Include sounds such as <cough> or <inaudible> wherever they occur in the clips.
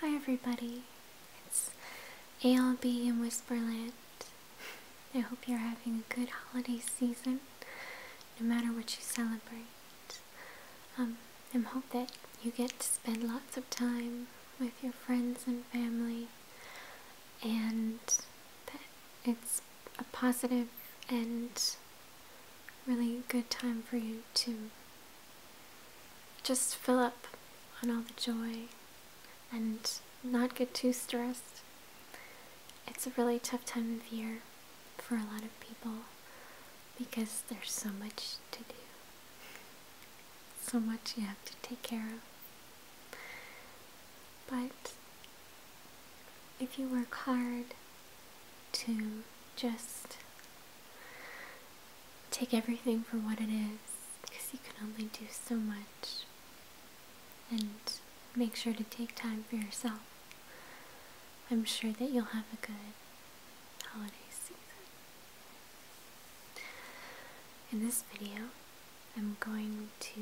Hi everybody, it's ALB in Whisperland. I hope you're having a good holiday season, no matter what you celebrate. Um, I hope that you get to spend lots of time with your friends and family, and that it's a positive and really good time for you too just fill up on all the joy and not get too stressed. It's a really tough time of year for a lot of people because there's so much to do, so much you have to take care of. But if you work hard to just take everything for what it is because you can only do so much and make sure to take time for yourself. I'm sure that you'll have a good holiday season. In this video, I'm going to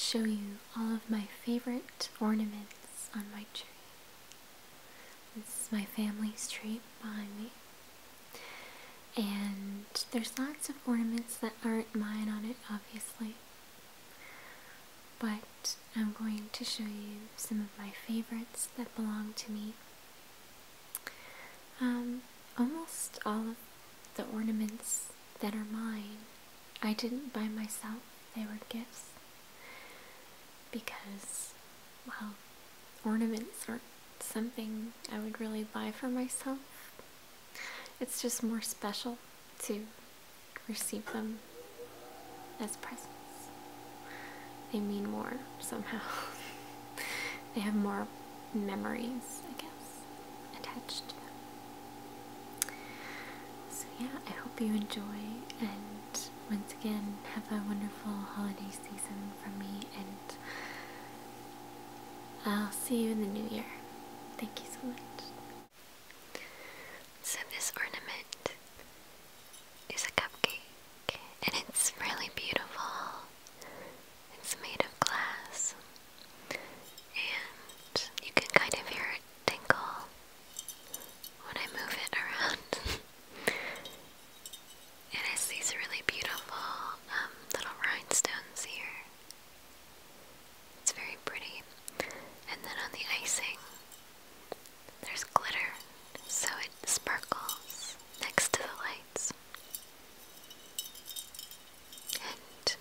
show you all of my favorite ornaments on my tree. This is my family's tree behind me. And there's lots of ornaments that aren't mine on it, obviously. But I'm going to show you some of my favorites that belong to me. Um, almost all of the ornaments that are mine, I didn't buy myself. They were gifts because, well, ornaments aren't something I would really buy for myself. It's just more special to receive them as presents. They mean more somehow. <laughs> they have more memories, I guess, attached to them. So, yeah, I hope you enjoy, and once again, have a wonderful holiday season from me, and I'll see you in the new year. Thank you so much. So, this ornament is a cupcake, and it's really beautiful. It's made of glass, and you can kind of hear it tinkle when I move it around. <laughs> it has these really beautiful um, little rhinestones here. It's very pretty. And then on the icing, there's glitter, so it sparkles next to the lights. And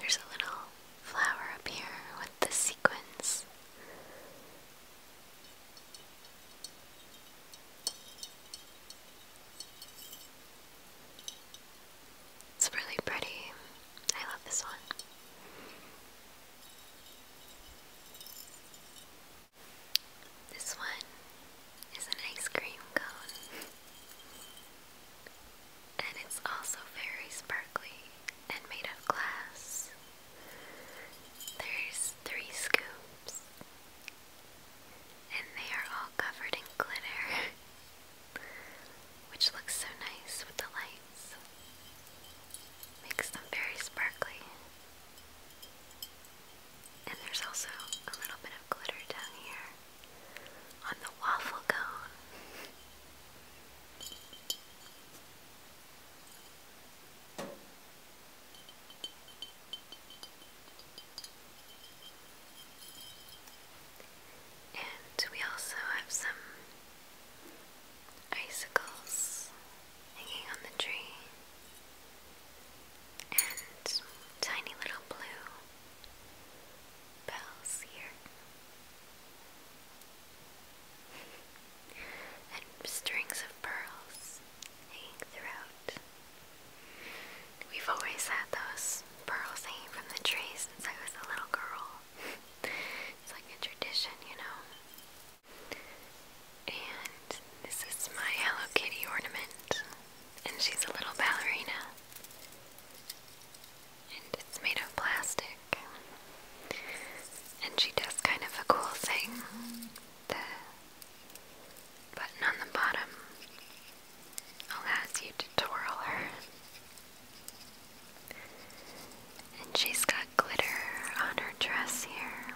there's a little flower up here with the sequins. It's really pretty. I love this one. This one is an ice cream cone and it's also very sparkly and made of glass. There's three scoops, and they are all covered in glitter, <laughs> which looks so nice with the lights. Makes them very sparkly. And there's also a little bit of glitter down here on the waffle cone. And we also have some icicles hanging on the tree and tiny little blue bells here. and strings of pearls hanging throughout. We've always had those pearls hanging from the trees since I was a little girl. it's like a tradition, you know. And this is my Hello Kitty ornament and she's a little ballerina. And it's made of plastic. And she does kind of a cool thing. The button on the bottom allows you to twirl her. And she's got glitter on her dress here.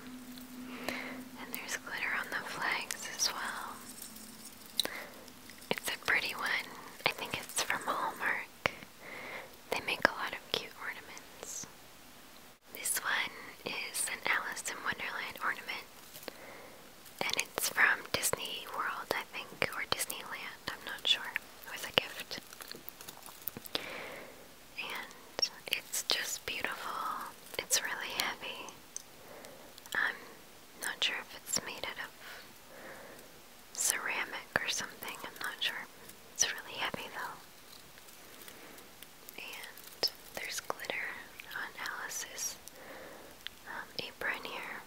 And there's glitter on the flags as well. It's a pretty one. I think it's from Hallmark. They make a lot of cute ornaments. This one is an Alice in Wonderland ornament. And it's from Disney World, I think, or Disneyland, I'm not sure. It was a gift. And it's just beautiful. It's really heavy. I'm not sure if it's made out of ceramic or something, I'm not sure. It's really heavy though. And there's glitter on Alice's um, apron here.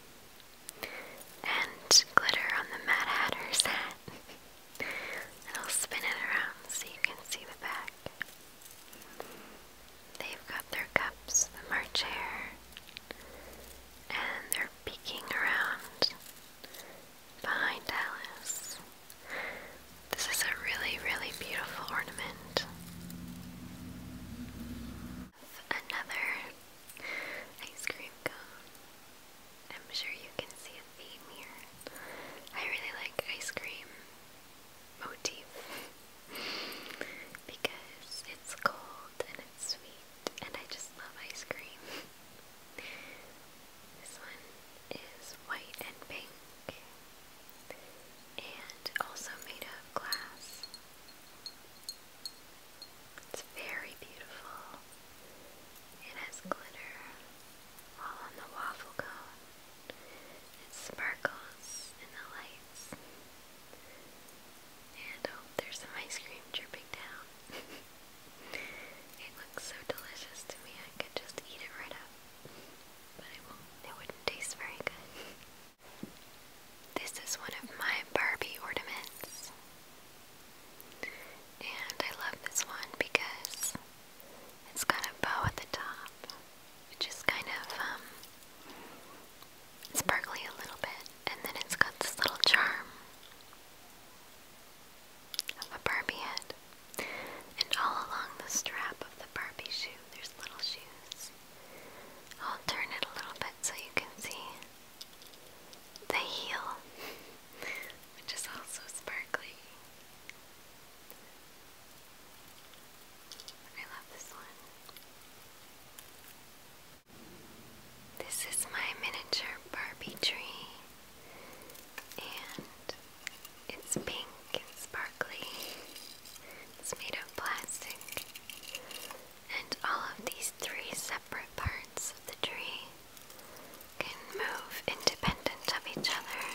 And glitter on the Mad Hatter's hat. and <laughs> I'll spin it around so you can see the back. They've got their cups, the March and they're peeking around behind Alice. This is a really, really beautiful ornament. Another ice cream cone. I'm sure you can see a theme here. I really like ice cream motif because it's cold and it's sweet and I just love ice cream. this one is white and pink and also made of glass. It's very beautiful. It has glitter all on the waffle cone. It sparkles in the lights. And oh, there's some ice cream dripping down. <laughs> it looks so delicious to me, I could just eat it right up. But I won't, it wouldn't taste very good. This is one of my Barbie ornaments. And I love this one because it's got a bow at the top, which is kind of um, sparkly a little bit, and then it's got this little charm of a Barbie head. And all along the strap of the Barbie shoe, there's little shoes. I'll turn it a little bit so you can see the heel, <laughs> which is also sparkly. I love this one. This is my miniature Barbie tree, and it's pink and sparkly. It's made of plastic, and all of these three separate parts of the tree can move independent of each other.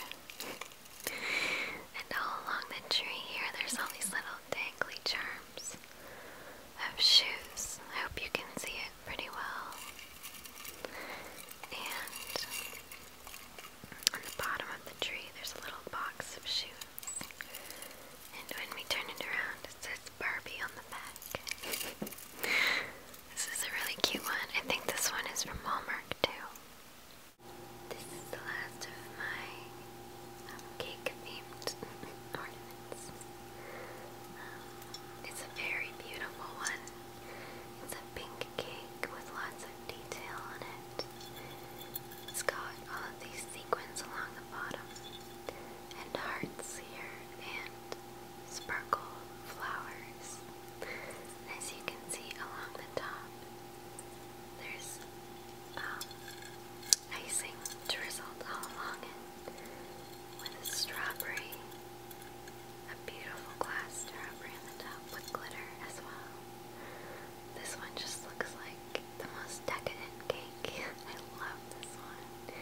and all along the tree here, there's all these little dangly charms of shoes. I hope you can see it pretty well. And on the bottom of the tree, there's a little box of shoes. And when we turn it around, it says Barbie on the back. <laughs> This is a really cute one. I think this one is from Walmart too. This is the last of my um, cake themed <laughs> ornaments. Um, it's a very beautiful one. It's a pink cake with lots of detail on it. It's got all of these sequins along the bottom and hearts here and sparkle flowers. As you can see along the top, there's um, icing drizzled all along it with a strawberry, a beautiful glass strawberry on the top with glitter as well. This one just looks like the most decadent cake. <laughs> I love this one.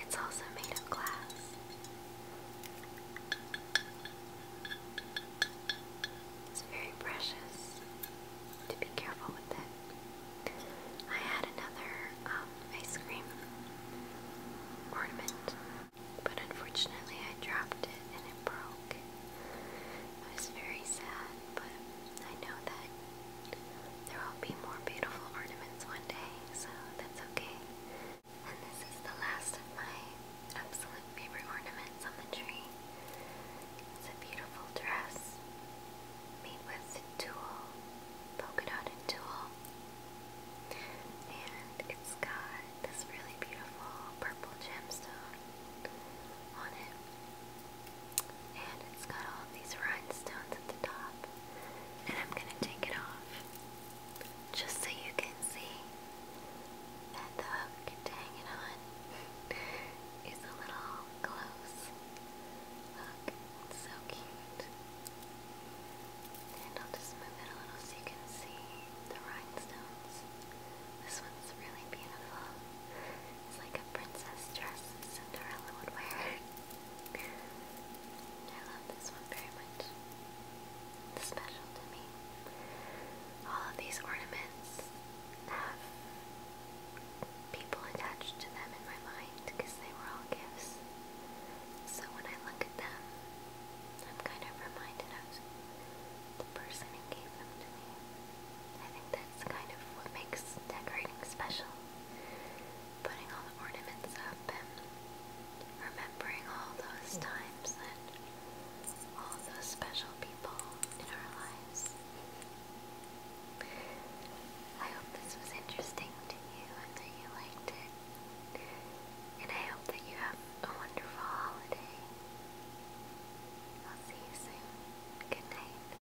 It's also made of glass. It's very precious to be careful with it. I had another um, ice cream ornament, but unfortunately I dropped it and it broke. I was very sad, but I know that there will be more beautiful ornaments one day so that's okay. And this is the last of my absolute favorite ornaments on the tree. It's a beautiful dress made with tulle, polka dotted tulle. And it's got this really beautiful purple gemstone on it. And it's got all these rhinestones at the top and I'm going to take it off just so you can see that the hook to hang it on is a little close. it's so cute. And I'll just move it a little so you can see the rhinestones. This one's really beautiful. It's like a princess dress Cinderella would wear. <laughs> I love this one very much. It's special to me. All of these ornaments have people attached to them in my mind because they were all gifts. So when I look at them, I'm kind of reminded of the person who gave them to me. I think that's kind of what makes decorating special putting all the ornaments up and remembering all those times and all those special people in our lives. I hope this was interesting to you and that you liked it. And I hope that you have a wonderful holiday. I'll see you soon. Good night.